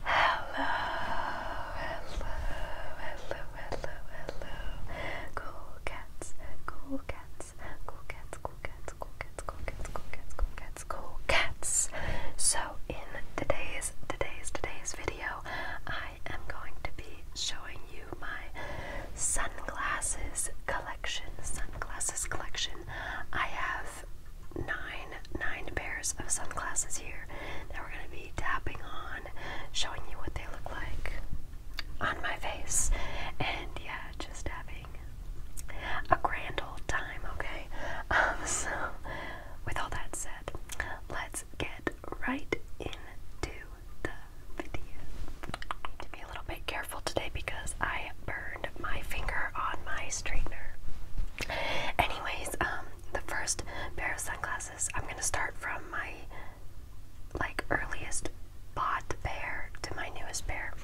Hello, hello, hello, hello, hello. Cool cats, cool cats, cool cats, cool cats, cool cats, cool cats, cool cats, cool cats, So in today's today's today's video, I am going to be showing you my sunglasses collection. Sunglasses collection. I have nine nine pairs of sunglasses here that we're going to be tapping on, showing you what they look like on my face, and yeah, just having a grand old time. Okay, um, so with all that said, let's get right into the video. To be a little bit careful today because I burned my finger on my straightener. Anyways, um, the first pair of sunglasses, I'm gonna start from my like earliest bought pair to my newest pair.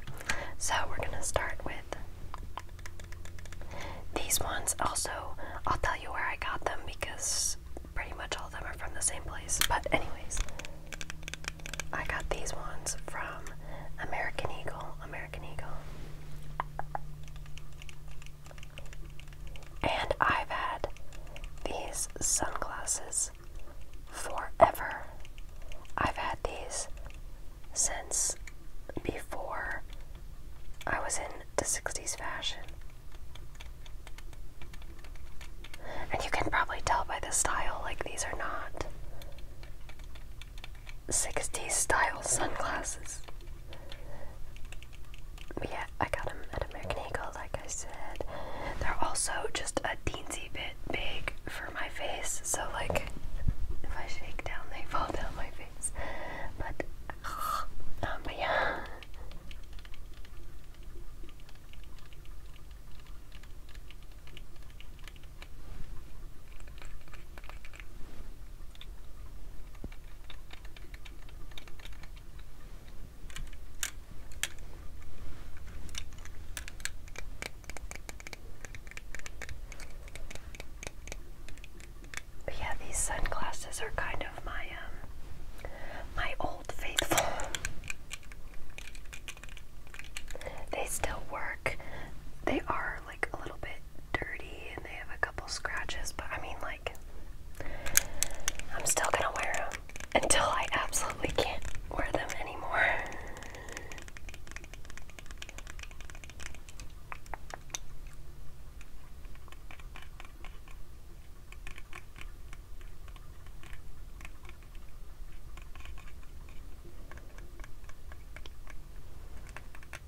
So we're gonna start with these ones. Also, I'll tell you where I got them because pretty much all of them are from the same place. But anyways, I got these ones from American Eagle. American Eagle. And I've had these sunglasses forever. I've had these since before I was in the 60s fashion. And you can probably tell by the style, like, these are not 60s style sunglasses. But yeah, I got them at American Eagle, like I said. They're also just a teensy bit big for my face, so like if I shake down, they fall down my face. But, um, but yeah. But yeah, these sunglasses are kind of my um my old faithful. They still work. They are like a little bit dirty and they have a couple scratches, but I mean, like, I'm still gonna wear them until I absolutely can't wear them anymore.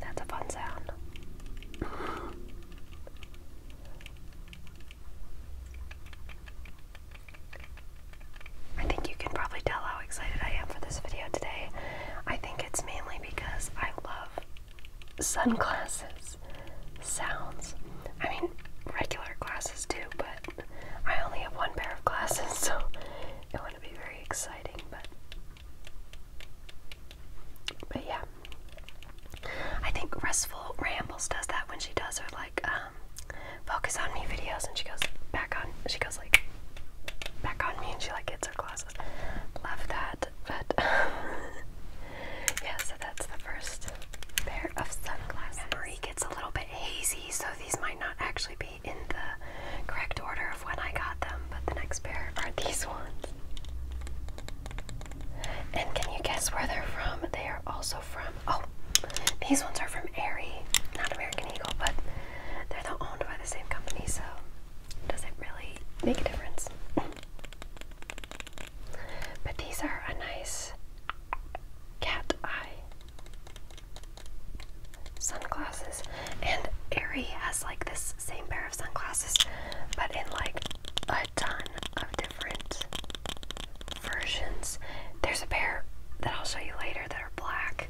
That's a fun sound. I think you can probably tell how excited I am for this video today. I think it's mainly because I love sunglasses sounds. I mean, regular glasses too, but I only have one pair of glasses, so it wouldn't be very exciting, but but yeah. I think Restful Rambles does that when she does her like um, focus on me videos and she goes back on she goes like back on me and she like gets her glasses. Love that. But yeah, so that's the first pair of sunglasses. Memory gets a little bit hazy, so these might not actually be in the correct order of when I got them, but the next pair are these ones. And can you guess where they're from? They are also from, oh, these ones are from Aerie, not American Eagle, but they're the, owned by the same company, so does it really make a difference? but these are a nice cat eye sunglasses. And Aerie has like this same pair of sunglasses, but in like a ton of different versions. There's a pair that I'll show you later that are black,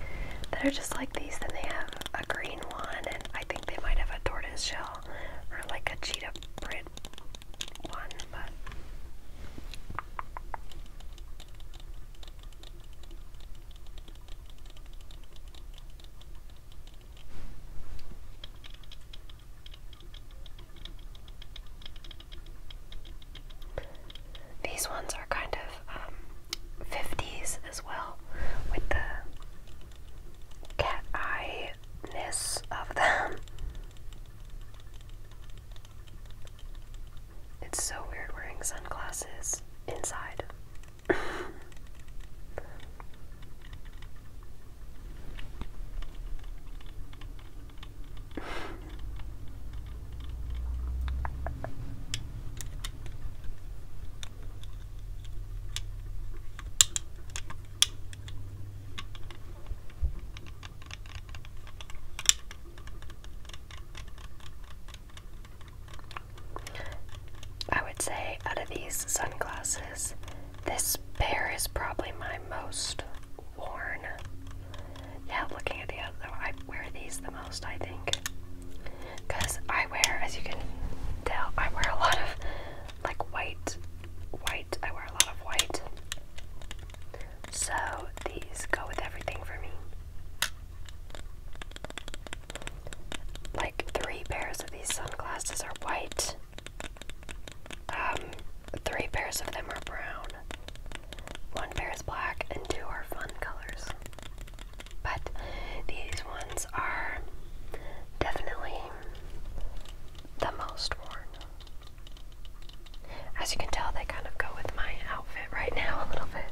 that are just like these. Then they have a green one, and I think they might have a tortoise shell or like a cheetah print one, but. These ones are kind of 50s um, as well, with the cat eye ness of them. It's so weird wearing sunglasses inside. I would say out of these sunglasses, this pair is probably my most worn. Yeah, looking at the other, I wear these the most, I think. Because I wear, as you can tell, I wear a lot of like white, white, I wear a lot of white. So these go with everything for me like three pairs of these sunglasses are white. Um, three pairs of them are brown. One pair is black and two are fun colors. But these ones are definitely the most worn. As you can tell, they kind of go with my outfit right now a little bit.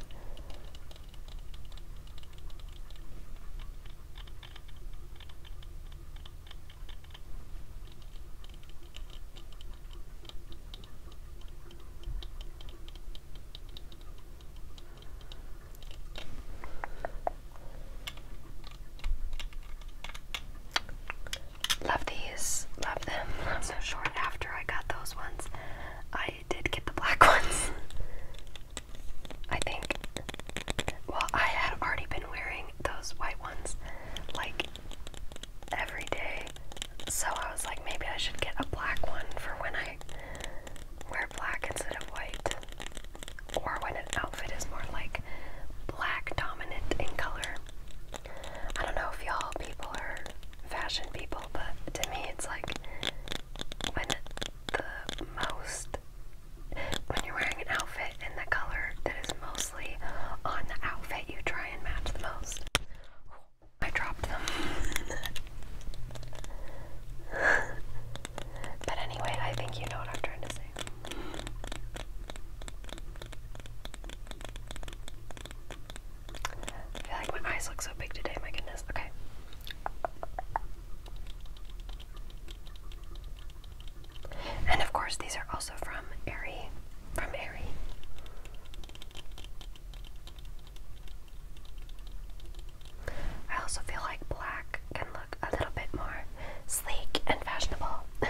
Love these, love them. Love so short after I got those ones. I I did get the black ones. I think. Well, I had already been wearing those white ones like every day. So I was like, maybe I should get a black one for when I wear black instead of white. Or when an outfit is more like black dominant in color. I don't know if y'all people are fashion people, but to me it's like when the most when you're wearing an outfit and the color that is mostly on the outfit you try and match the most. Oh, I dropped them. but anyway, I think you know what I'm trying to say. I feel like my eyes look so big today, my goodness. Okay. And of course, these are also from Aerie. From Aerie. I also feel like black can look a little bit more sleek and fashionable.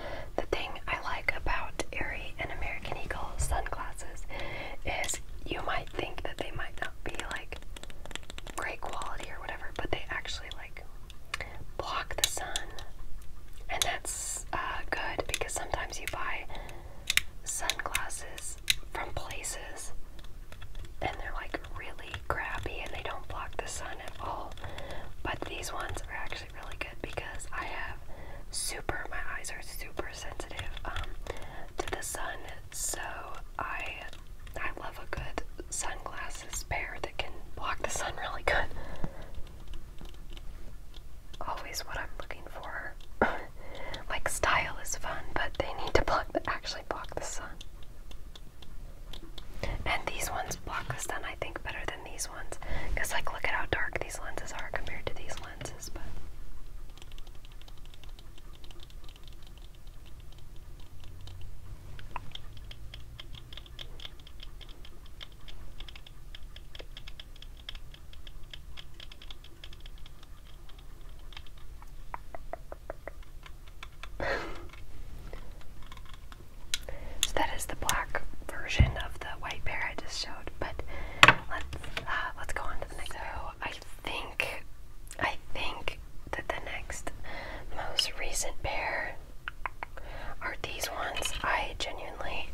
The thing I like about Aerie and American Eagle sunglasses is you might think that they might not be like great quality or whatever, but they actually like block the sun. And that's uh, good because sometimes you buy sunglasses from places and they're like really crappy and they don't block the sun at all. But these ones are actually really good because I have super, my eyes are super sensitive um, to the sun, so I I love a good sunglasses pair that can block the sun really good. Always what I'm looking for. like style is fun, but they need to block the, actually block the sun. And these ones block the sun, I think, better than these ones. Because, like, look at how dark these lenses are compared to these lenses, but. that is the black version of the white pair I just showed but let's uh, let's go on to the next. So I think I think that the next most recent pair are these ones. I genuinely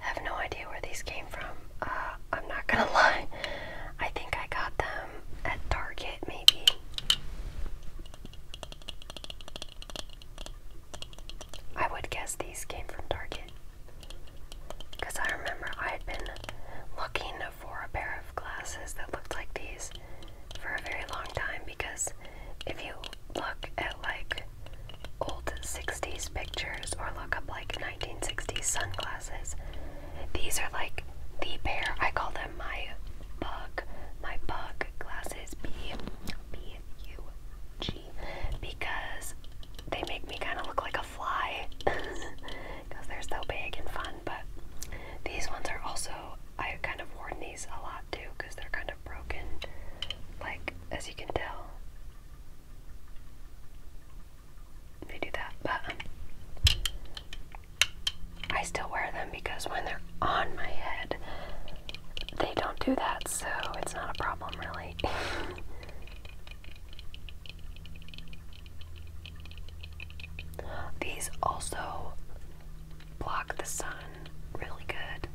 have no idea where these came from. Uh, I'm not gonna lie. I think I got them at Target, maybe. I would guess these came from Target. Because I remember I had been looking for a pair of glasses that looked like these for a very long time. Because if you look at like old 60s pictures or look up like 1960s sunglasses, these are like the pair. I call them my bug, my bug glasses. B B U G because they make me kind of look like a fly because they're so big and fun. But these ones are also, I've kind of worn these a lot too because they're kind of broken, like as you can tell. They do that, but um, I still wear them because when they're on my head, they don't do that, so it's not a problem, really. These also block the sun really good.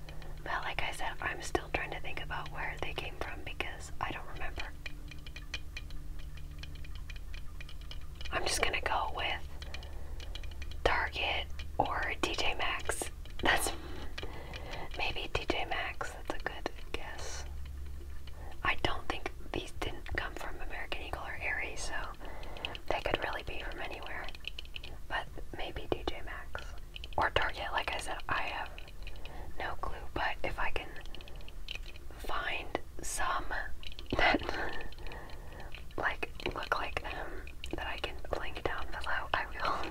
but like I said, I'm still trying to think about where they came from because I don't remember. I'm just gonna go with Target or DJ Maxx. That's Maybe TJ Maxx, that's a good guess. I don't think these didn't come from American Eagle or Aerie, so they could really be from anywhere. But maybe TJ Maxx. Or Target, like I said, I have no clue, but if I can find some that like look like them that I can link down below, I will.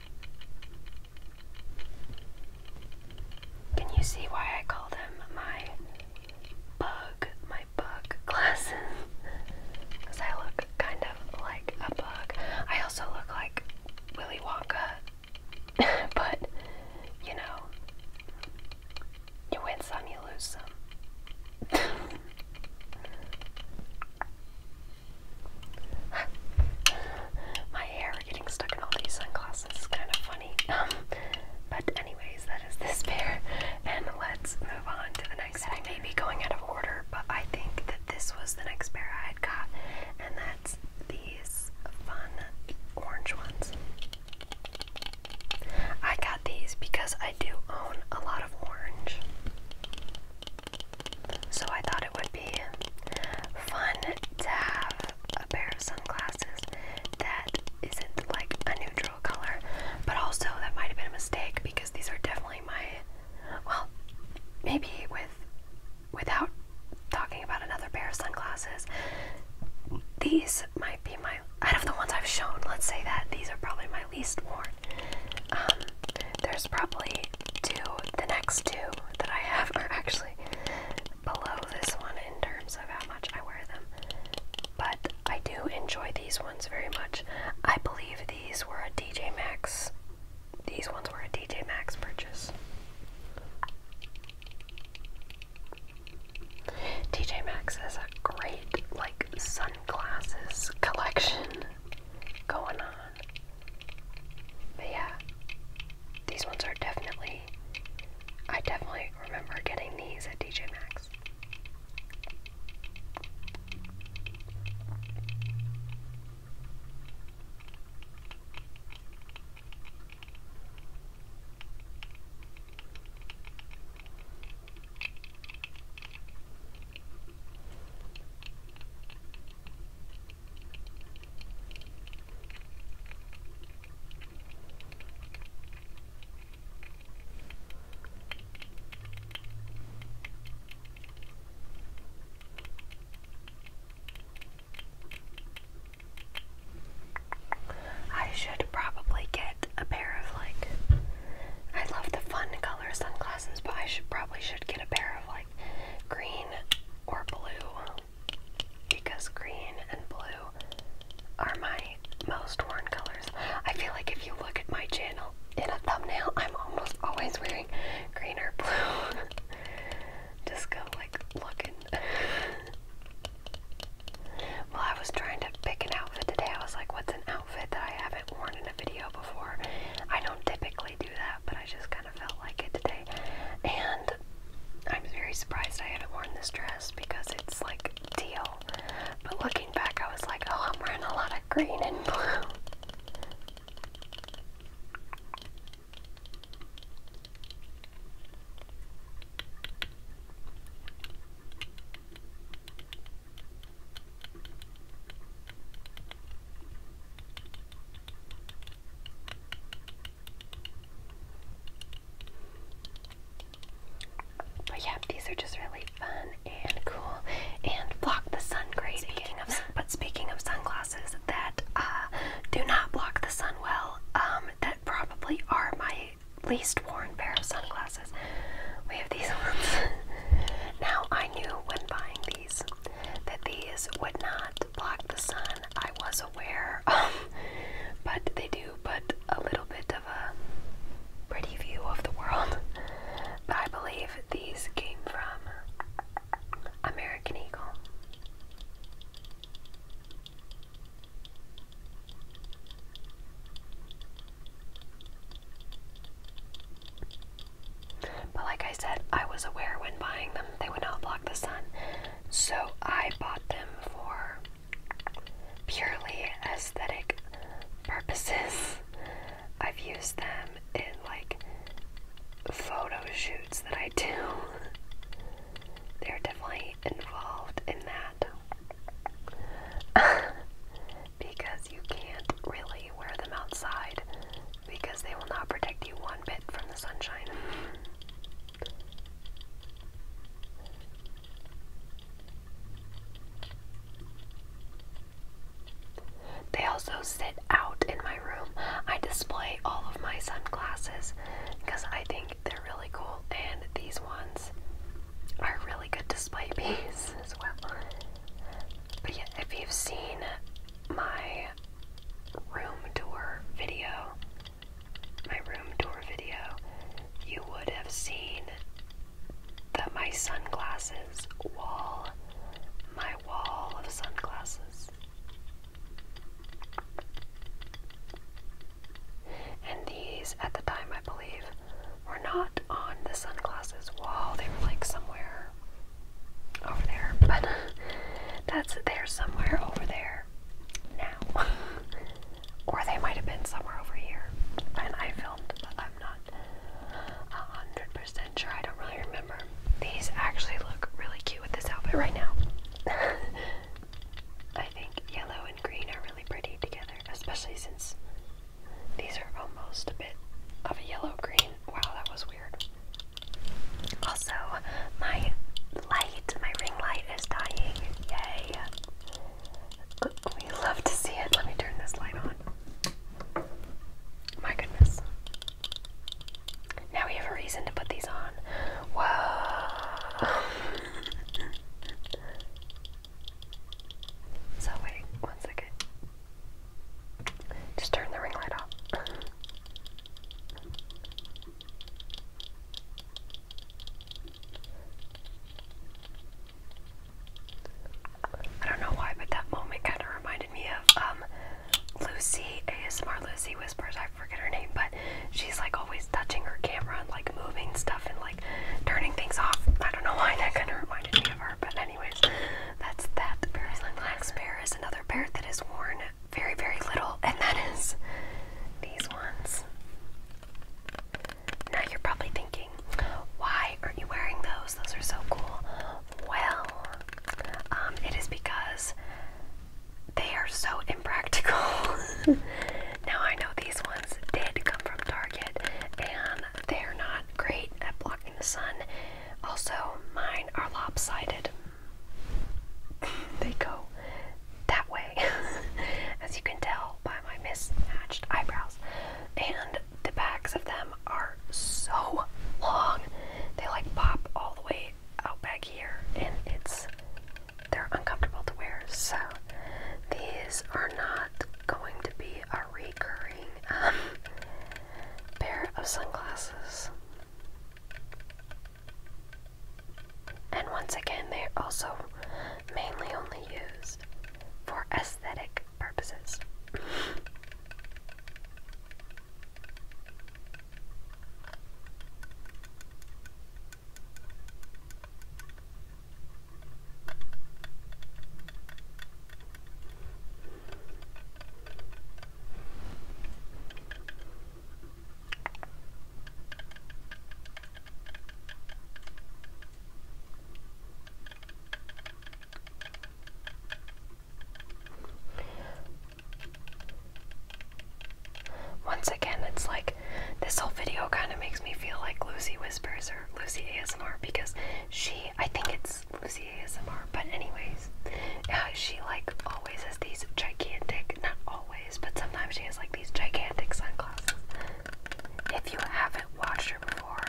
Can you see why I call them my bug, my bug glasses? Because I look kind of like a bug. I also look like Willy Wonka, but you know, you win some, you lose some. my hair getting stuck in all these sunglasses is kind of funny. Um, but anyways, that is this pair, and let's move on to the next. I may be going out of order, but I think that this was the next pair I had got, and that's these fun orange ones. I got these because I do own a lot of orange. So I thought it would be fun to have a pair of sunglasses that isn't like a neutral color, but also that might have been a mistake because these are definitely my well, maybe with without talking about another pair of sunglasses, these might be my out of the ones I've shown, let's say that these are probably my least worn. Um, there's probably two, the next two that I have are actually below this one in terms of how much I wear them. But I do enjoy these ones very much. I believe these were a DJ Max. These ones were a DJ Max purchase. DJ Max has a great like sunglasses collection going on. But yeah, these ones are definitely, I definitely remember getting these at DJ Max. I should probably get a pair of like I love the fun color sunglasses, but I should probably should get a pair of like green or blue because green and blue are my most worn colors. I feel like if you look at my channel in a thumbnail, I'm almost always wearing green or blue. Just go like looking. While I was trying to pick an outfit today. I was like, what's an outfit that I haven't worn in a video before? I don't typically do that, but I just kind of felt like it today. And I'm very surprised I haven't worn this dress because it's like teal. But looking back, I was like, oh, I'm wearing a lot of green and blue. But yeah, these are just really fun and cool and block the sun great. Speaking of, but speaking of sunglasses that uh, do not block the sun well, um, that probably are my least worn pair of sunglasses. We have these ones. now I knew when buying these that these would not block the sun. I was aware, um, but they do put a little bit of a pretty view of the world. But I believe these came from American Eagle. But like I said, I was aware when buying them they would not block the sun. So I bought them for purely aesthetic purposes. I've used them in like photo shoots that I do. They're definitely involved in that. because you can't really wear them outside because they will not protect you one bit from the sunshine. They also sit out in my room. I display all of my sunglasses because I think they're really cool, and these ones are really good display piece as well. But yeah, if you've seen my room door video, my room door video, you would have seen that my sunglasses wall, my wall of sunglasses. And these, at the time, I believe, were not on the sunglasses wall. They were like somewhere over there, but that's there somewhere over there now. or they might have been somewhere over here, and I filmed, but I'm not a 100% sure. I don't really remember. These actually look really cute with this outfit right now. I think yellow and green are really pretty together, especially since these are almost a bit of a yellow green. Wow, that was weird. Also, my light, my ring light is dying. Yay! We love to see it. Let me turn this light on. My goodness. Now we have a reason to put these on. Whoa! so, wait, one second. Just turn the ring light off. I don't know why, but that moment kind of reminded me of um, Lucy, ASMR Lucy Whispers, I forget her name, but she's like always touching her camera and like moving stuff and like turning things off. I don't know why that kind of reminded me of her, but anyways, that's that. Paris Lynx Bear is another bear that is worn very, very little, and that is these ones. Now you're probably thinking, why aren't you wearing those? Those are so cool. Well, um, it is because they are so impractical. now I know these ones did come from Target and they're not great at blocking the sun. Also, mine are lopsided. they go that way, as you can tell by my mismatched eyebrows. And the backs of them are so long, they like pop all the way out back here, and it's they're uncomfortable to wear. So, these are not going to be a recurring um, pair of sunglasses. And once again, they are also mainly only used for aesthetic purposes. Once again, it's like this whole video kind of makes me feel like Lucy Whispers or Lucy ASMR because she, I think it's Lucy ASMR, but anyways, uh, she like always always has these gigantic, not always, but sometimes she has like these gigantic sunglasses. If you haven't watched her before,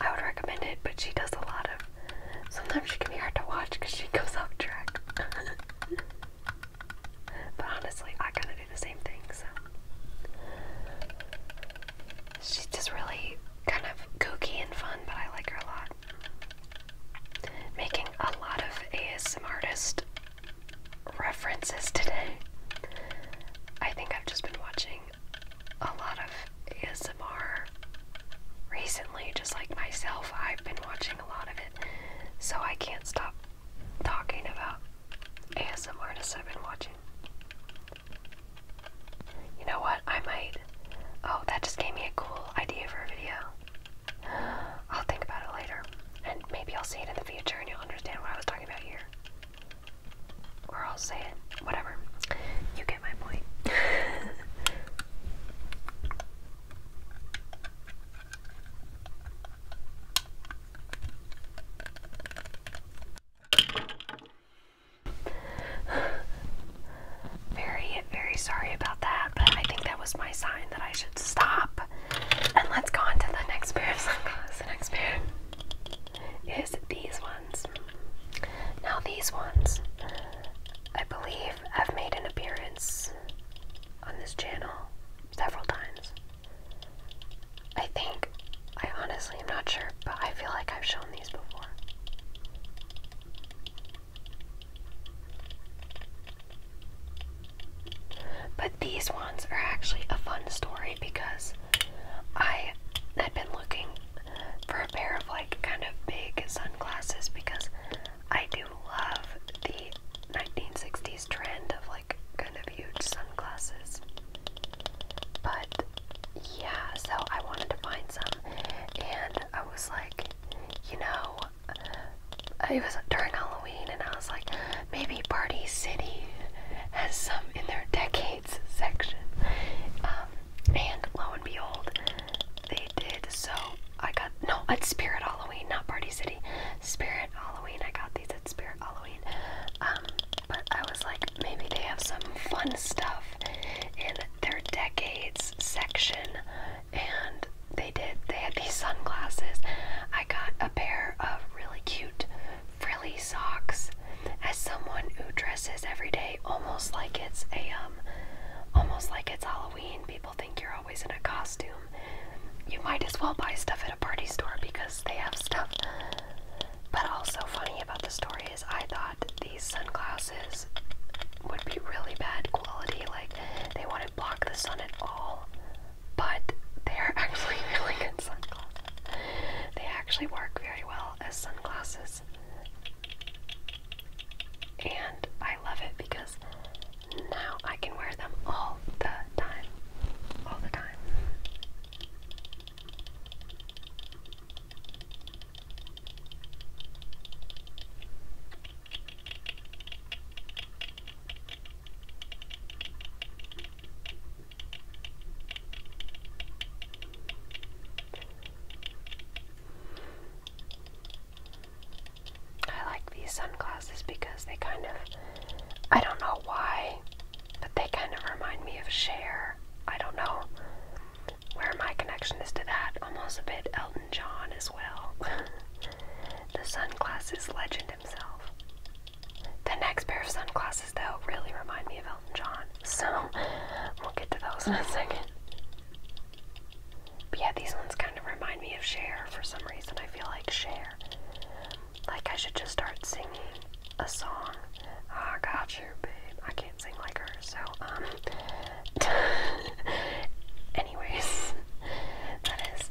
I would recommend it, but she does a lot of. Sometimes she can be hard to watch because she goes off track. but honestly, I kind of do the same thing, so. She's just really kind of goofy and fun, but I like her a lot. Making a lot of ASMR artist references today. I think I've just been watching a lot of ASMR recently, just like myself. I've been watching a lot of it, so I can't stop talking about ASMR artists I've been watching. You know what? I might. Oh, that just gave me a cool idea for a video. I'll think about it later, and maybe I'll see it in the future and you'll understand what I was talking about here. Or I'll say it, whatever. You get my point very, very sorry about that, but I think that was my sign that I should stop. And let's go on to the next pair of sunglasses. The next pair is these ones. Now, these ones, I believe, have made an appearance on this channel several times. I think, I honestly am not sure, but I feel like I've shown these before. But these ones are actually a fun story because I had been looking for a pair of like kind of big sunglasses because I do love the 1960s trend of like kind of huge sunglasses. But yeah, so I wanted to find some and I was like, you know, it was during Halloween, and I was like, maybe Party City has some in their decades section. Um, and lo and behold, they did. So I got no at Spirit Halloween, not Party City. Spirit Halloween. I got these at Spirit Halloween. Um, but I was like, maybe they have some fun stuff in their decades section and they did. They had these sunglasses. I got a pair of really cute frilly socks. As someone who dresses every day almost like it's a um almost like it's Halloween, people think you're always in a costume. You might as well buy stuff at a party store because they have stuff. But also funny about the story is I thought these sunglasses would be really bad quality, like they want to block the sun at all, but they are actually really good sunglasses. They actually work very well as sunglasses. And I love it because now I can wear them all the time. All the time. I like these sunglasses because they kind of, I don't know why, but they kind of remind me of Cher. I don't know where my connection is to that. Almost a bit Elton John as well. the sunglasses legend himself. The next pair of sunglasses, though, really remind me of Elton John, so we'll get to those in a second. But yeah, these ones kind of remind me of Cher for some reason. I feel like Cher. Like I should just start singing a song. I got you, babe. I can't sing like her, so um, Anyways, that is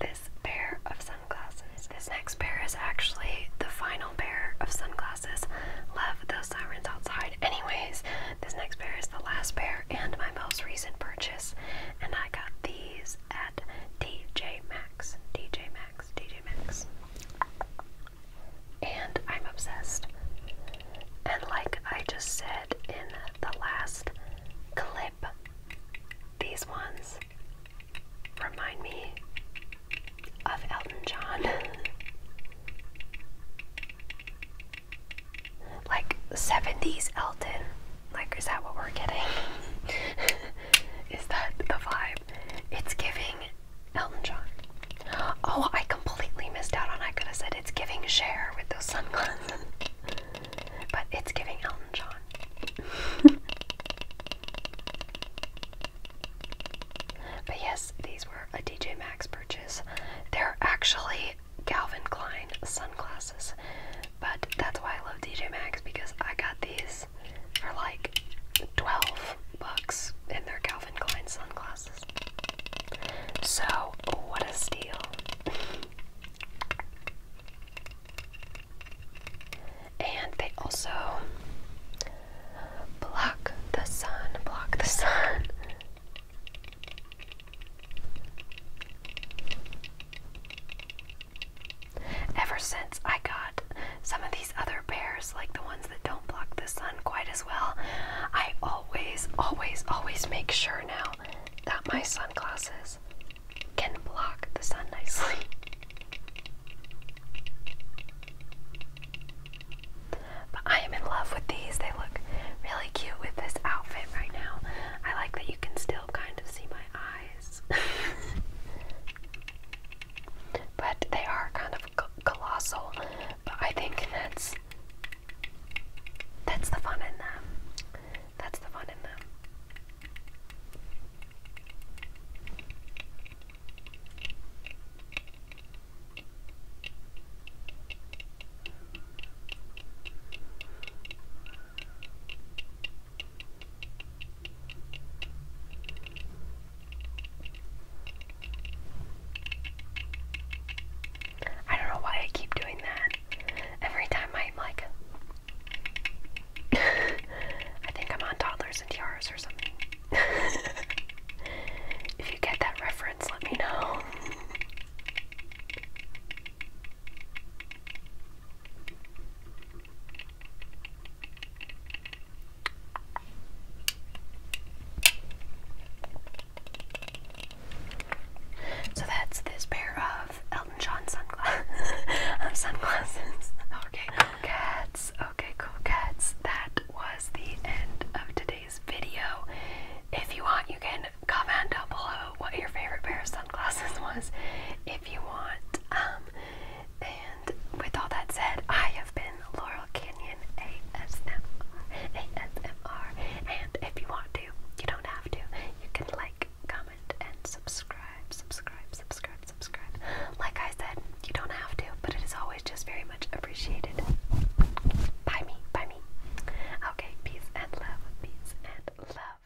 this pair of sunglasses. This next pair is actually the final pair of sunglasses. Love the sirens outside. Anyways, this next pair is the last pair and my most recent purchase. And I got these at DJ Maxx. DJ Maxx. DJ Maxx. And I'm obsessed. And like I just said in the last clip, these ones remind me of Elton John. like 70s Elton. Like, is that what we're getting? is that the vibe? It's giving Elton John. Oh, I completely missed out on I could have said it's giving share with those sunglasses. but it's giving Elton John. but yes, these were a DJ Max purchase. They're actually Calvin Klein sunglasses. But that's why I love DJ Max because I got these for like 12 bucks and they're Calvin Klein sunglasses. So, what a steal. and they also block the sun, block the sun. Ever since I got some of these other pairs, like the ones that don't block the sun quite as well. I always, always, always make sure now that my sunglasses can block the sun nicely. But I am in love with these. They look really cute with this outfit right now. I like that you can still kind of see my eyes. but they are kind of colossal. But I think that's that's the fun in them. That's the fun in them. I don't know why I keep doing that. Every time I'm like, I think I'm on toddlers and tiaras or something. if you get that reference, let me know. So that's this pair of Elton John sunglasses. Okay, cats. Okay, cool cats. That was the end of today's video. If you want, you can comment down below what your favorite pair of sunglasses was, if you want. Um, and with all that said, I have been Laurel Canyon. Opinion And if you want to, you don't have to. You can like, comment, and subscribe, subscribe, subscribe, subscribe. Like I said, you don't have to, but it is always just very much appreciated. By me, by me. Okay, peace and love, peace and love.